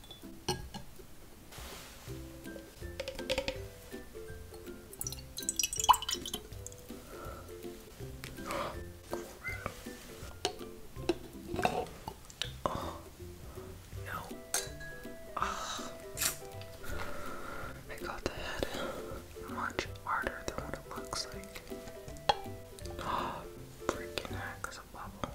Oh I got the much harder than what it looks like. Oh, freaking a bubble.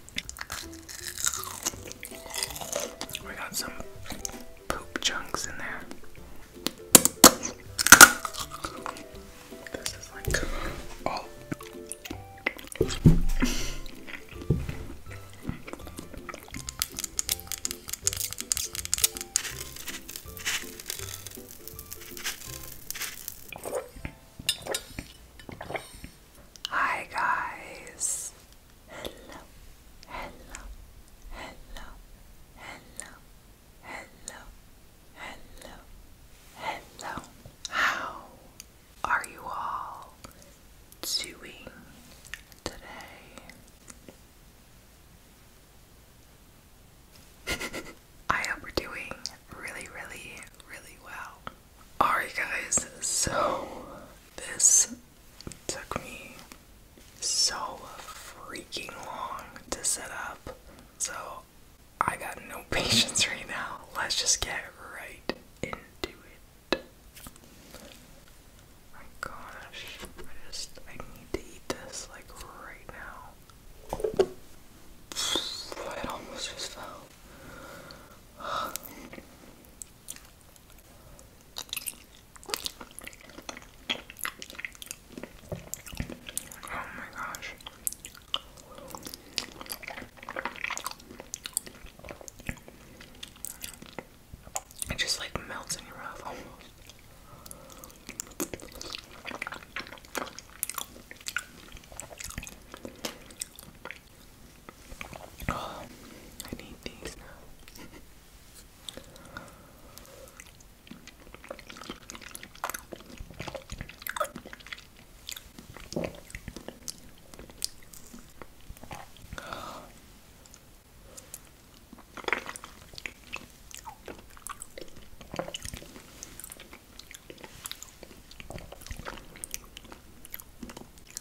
We got some poop chunks in there. This is like all. Oh. Hi guys. Hello. Hello. Hello. Hello. Hello. Hello. Hello. How are you all doing today? I hope we're doing really, really, really well. Alright, guys, so this took me so freaking long to set up, so I got no patience right now. Let's just get right into it. my gosh, I just I need to eat this like right now. It almost just fell. Oh my gosh. It just like melts in your mouth almost. Oh, I need these now.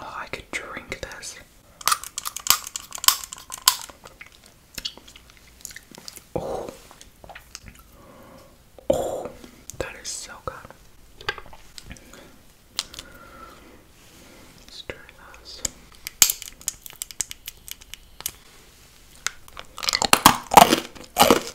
Oh, I could drink this. Oh. Oh, that is so good. let this.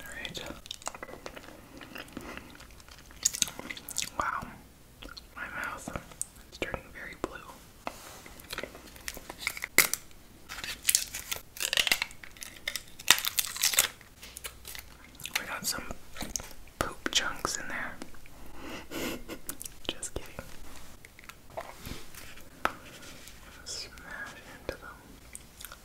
Alright. Wow. My mouth is turning very blue. We got some poop chunks in there. Just kidding. smash into them.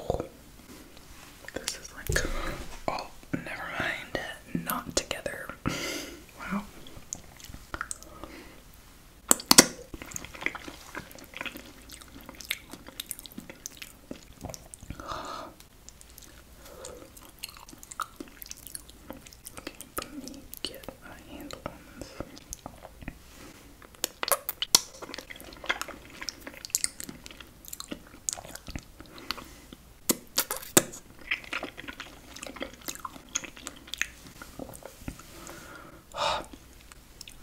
Oh, this is like oh, never mind, not together. wow. Okay, let me get a handle on this.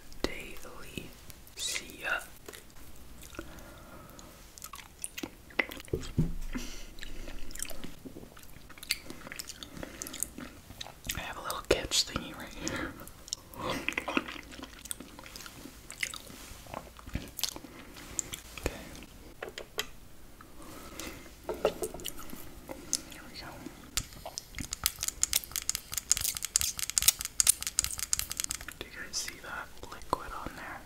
Daily see ya. I have a little catch thingy right here. Okay. Here we go. Do you guys see that liquid on there?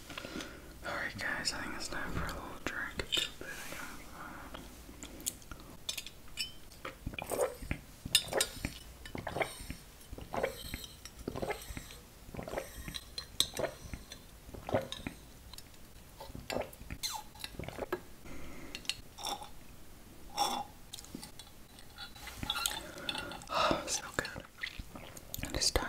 Alright, guys, I think it's time for a little drink. Too good. It is time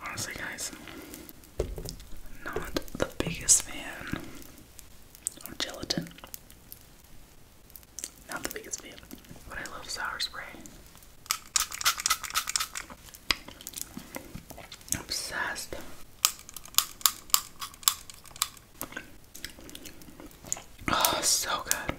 Honestly, guys, not the biggest fan or gelatin. Not the biggest fan, but I love sour spray. Obsessed. Oh, so good.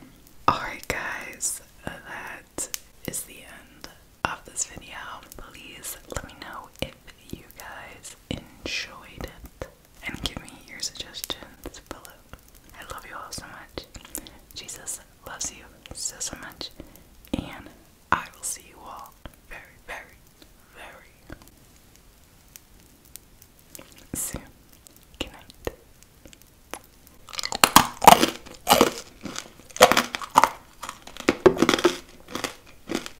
Alright, guys, that is the end of this video. Please let me know if you guys enjoyed it. And give me your suggestions below. I love you all so much. Jesus loves you so, so much. And I will see you all very, very, very soon. Good night.